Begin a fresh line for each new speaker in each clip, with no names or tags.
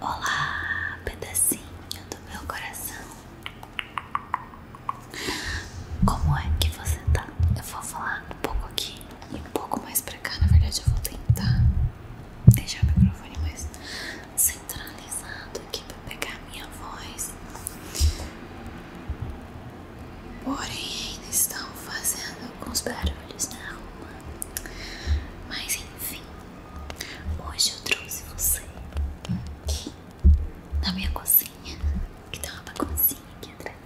Olá, pedacinho do meu coração. Como é que você tá? Eu vou falar um pouco aqui e um pouco mais pra cá. Na verdade, eu vou tentar deixar o microfone mais centralizado aqui pra pegar a minha voz. Porém, ainda estão fazendo alguns barulhos na rua. Mas enfim, Hoje eu trouxe você aqui na minha cozinha, que tem uma baguncinha aqui atrás.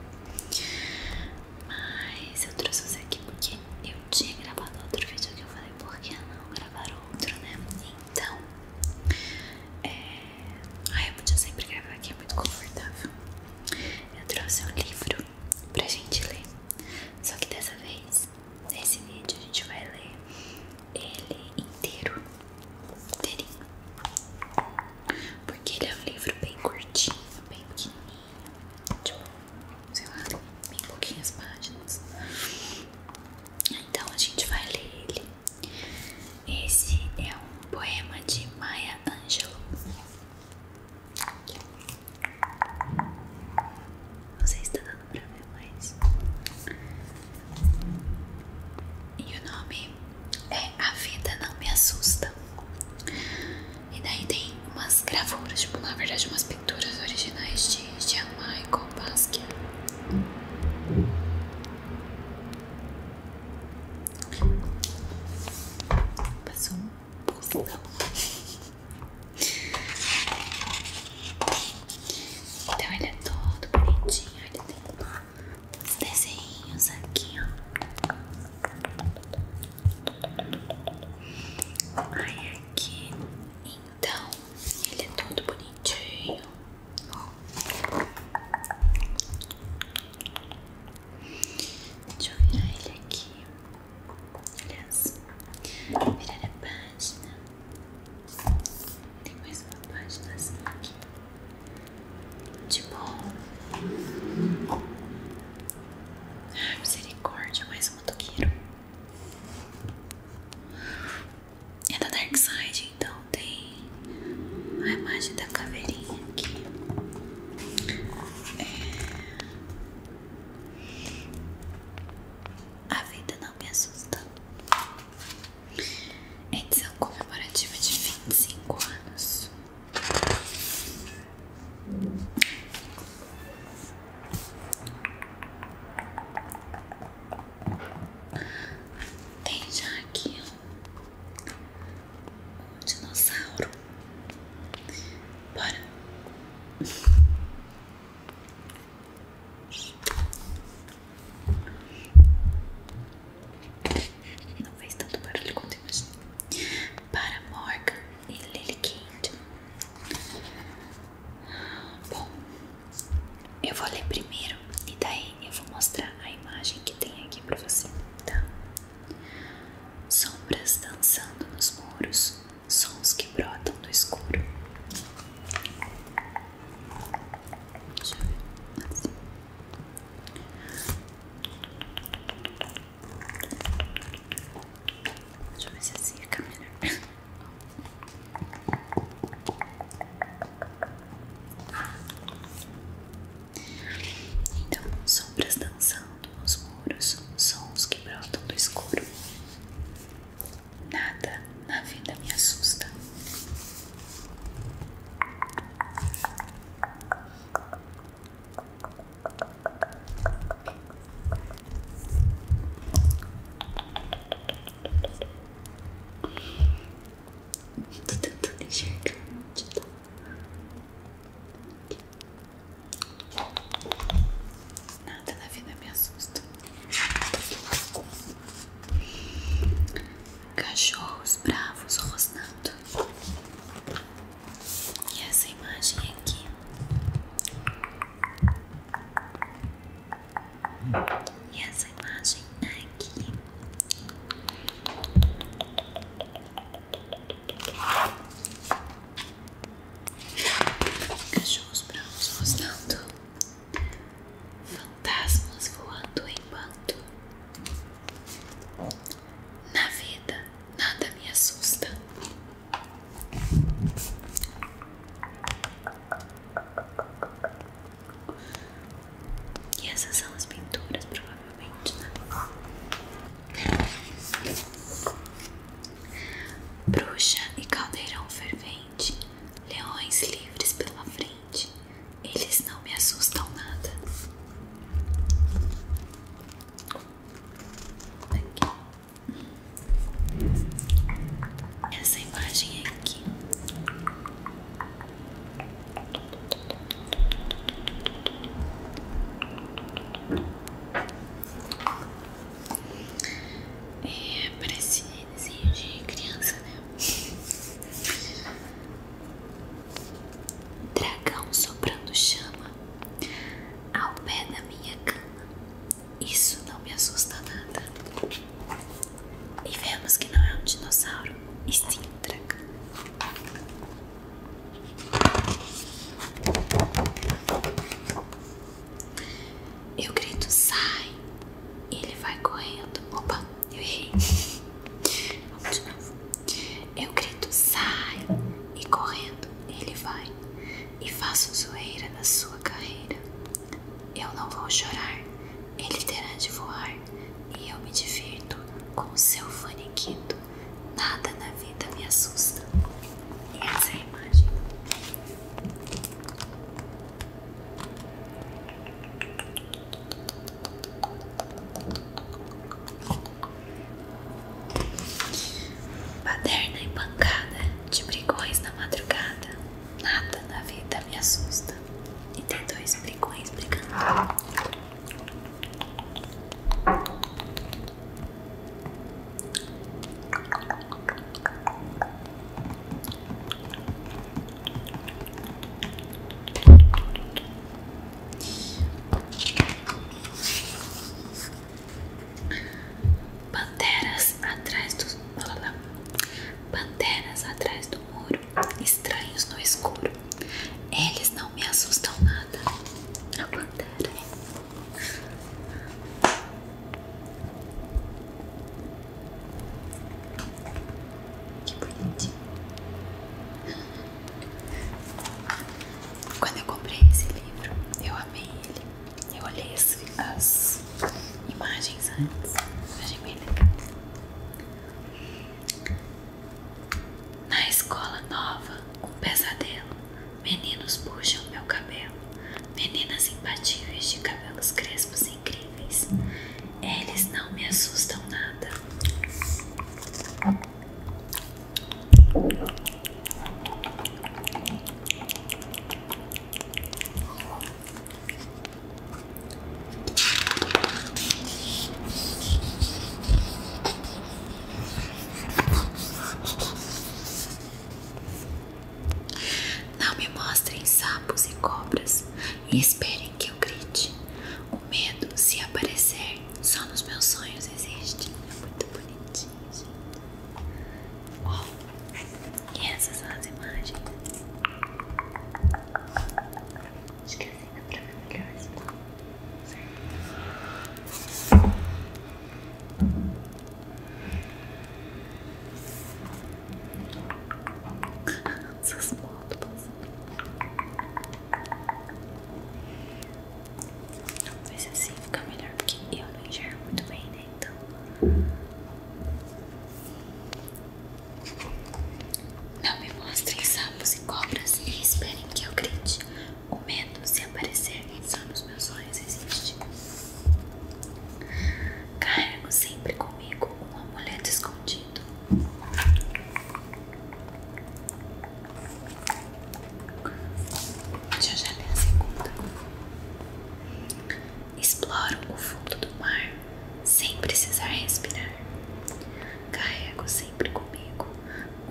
Mas eu trouxe você aqui porque eu tinha gravado outro vídeo que eu falei, por que não gravar outro, né? Então, é... Ai, eu podia sempre gravar aqui, é muito confortável. Eu trouxe um livro pra gente ler, só que dessa vez nesse vídeo a gente vai ler ele inteiro, inteirinho, porque ele é um livro bem curtinho, bem pequenininho, tipo, sei lá, bem pouquinhas páginas. Então a gente vai ler ele. Esse é um poema de Maya Angelou. Não sei se tá dando pra ver, mais E o nome é A Vida Não Me Assusta. E daí tem umas gravuras, tipo, na verdade, umas pinturas originais de Jean Michael Basquiat. Passou um postão. Então ele é todo bonitinho, ele tem uns desenhos aqui, ó. Aí aqui, então, ele é todo bonitinho. Deixa eu virar ele aqui. Olha só. Virar a página. Tem mais uma página assim aqui. Tipo. Ai, misericórdia, mais uma toqueiro. É da Dark Side, então tem a imagem da caveirinha aqui. É... A vida não me assusta. Edição comemorativa de vinte e cinco anos. Tem já aqui um dinossauro Bora. Não fez tanto barulho quanto eu imaginei. Para Morgan e Lily Kent Bom, eu vou ler primeiro e daí eu vou mostrar a imagem que tem aqui pra você, tá? Sombras dançando nos muros, sons que brotam do escuro. Deixa eu ver. se assim fica melhor. Então, sombras dançando ressoando nos muros sons que brotam do escuro. Nada na vida me assusta. Tô tentando enxergar onde tá. Nada na vida me assusta. Cachorros bravos rosnando. E essa imagem aqui. E essa imagem aqui. Cachorros brancos rosnando, fantasmas voando em bando. Na vida, nada me assusta. E essas são as pinturas, provavelmente obviamente, né? Bruxa e caldeirão fervente, leões livres pela frente, eles não me assustam nada. Aqui. Essa imagem é aqui é, parece desenho de criança, né? Dragão soprando chama ao pé da minha cama. Isso não me assusta nada. E vemos que não é um dinossauro, e sim um dragão. Eu grito sai e ele vai correndo. Opa, eu errei. Vamos de novo. Eu grito sai e correndo ele vai e faço zoeira na sua carreira. Eu não vou chorar, ele terá de voar e eu me divirto com o seu faniquito. Nada na vida me assusta. E essa é a imagem. Paderna e pancada de brigões na madrugada. Nada na vida me assusta. E tem dois brigões brigando. Panteras atrás do. Panteras atrás do muro, estranhos no escuro. Eles não me assustam nada. A pantera Que bonitinho. Quando eu comprei esse livro, eu amei ele. Eu olhei as, as imagens antes. Achei bem legal. Na escola nova, um pesadelo. Meninos puxam meu cabelo. Meninas imbatíveis de cabelos crespos incríveis. Eles não me assustam nada. Não me mostrem sapos e cobras e esperem que eu grite. O medo, se aparecer, só nos meus sonhos existe. É muito bonitinho, gente. E essas são as imagens. Acho que é ainda pra ver melhor se tá certo. Essas motos Talvez assim fica melhor porque eu não enxergo muito bem, né? Então. Não me mostrem sapos e cobras e esperem que eu grite. O medo, se aparecer, só nos meus olhos existe. Cargo sempre comigo um amuleto escondido. Deixa já ler a segunda. Exploro o fundo do mar sem precisar respirar. Carrego sempre comigo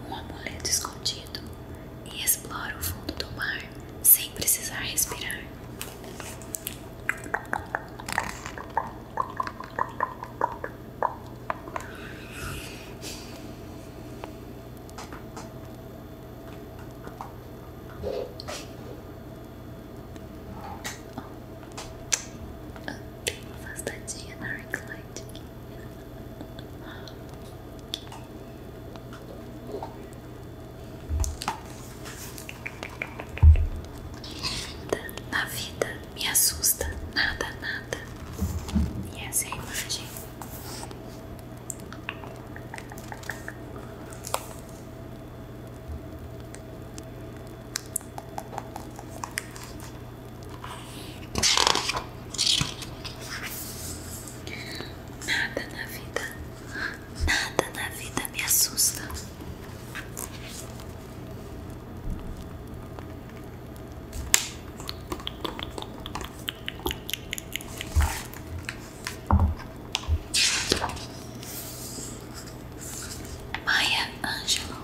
um amuleto escondido e exploro o fundo do mar sem precisar respirar. Ah, tem uma afastadinha na arc Na vida me assusta nada, nada. E essa é a imagem. Nada na vida, nada na vida me assusta. Maia Ângelo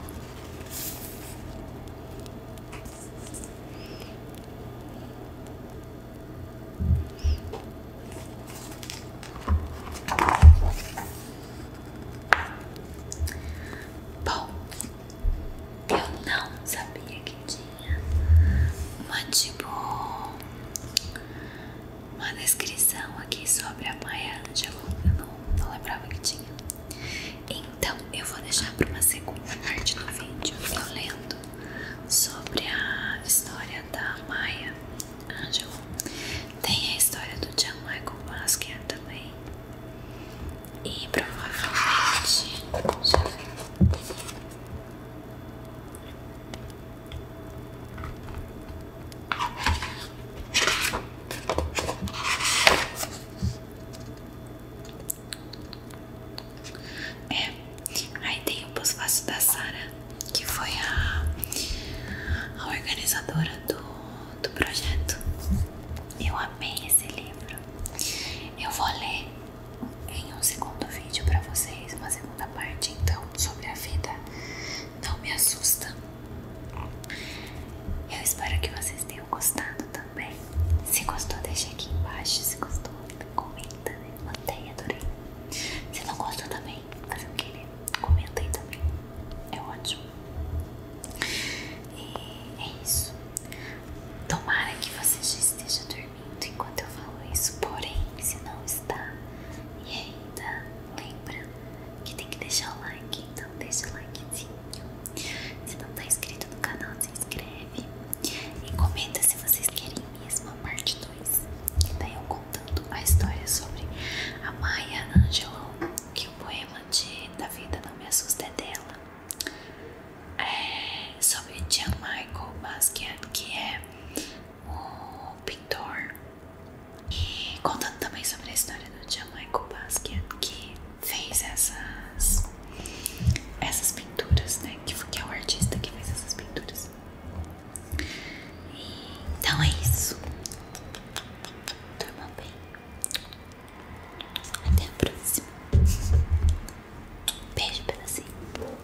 Bom, eu não sabia que tinha uma tipo uma descrição aqui sobre a Maia Ângelo. Eu não não lembrava que tinha. Então eu vou deixar para uma segunda parte do vídeo eu lendo sobre a história da Maia Angelou. Tem a história do John Michael Basquiat também. E provavelmente já é, aí tem o pós da Sara, que foi a, a organizadora do, do projeto. Eu amei esse livro. Eu vou ler em um segundo vídeo para vocês, uma segunda parte então sobre a vida. Não me assusta. Eu espero que vocês tenham gostado também. Se gostou, deixa aqui embaixo. Se gostou, comenta, né? Mantém, adorei. Se não gostou também, faz o que né? comenta aí também. É ótimo. E é isso. Tomara que você já esteja dormindo enquanto eu falo isso. Porém, se não está e ainda lembra que tem que deixar o like, então deixa o likezinho. Se não tá inscrito no canal, se inscreve e comenta se vocês querem mesmo a parte 2. daí eu contando a história sobre a Maya Angelou, que o poema de Da Vida Não Me Assusta é dela. É sobre Jean Michael Basquiat, que é o pintor e contando também sobre a história do John Michael Basquiat, que fez essas, essas pinturas, né? Que, que é o artista que fez essas pinturas. então é isso. Durma bem. Até a próxima. Beijo, pedacinho.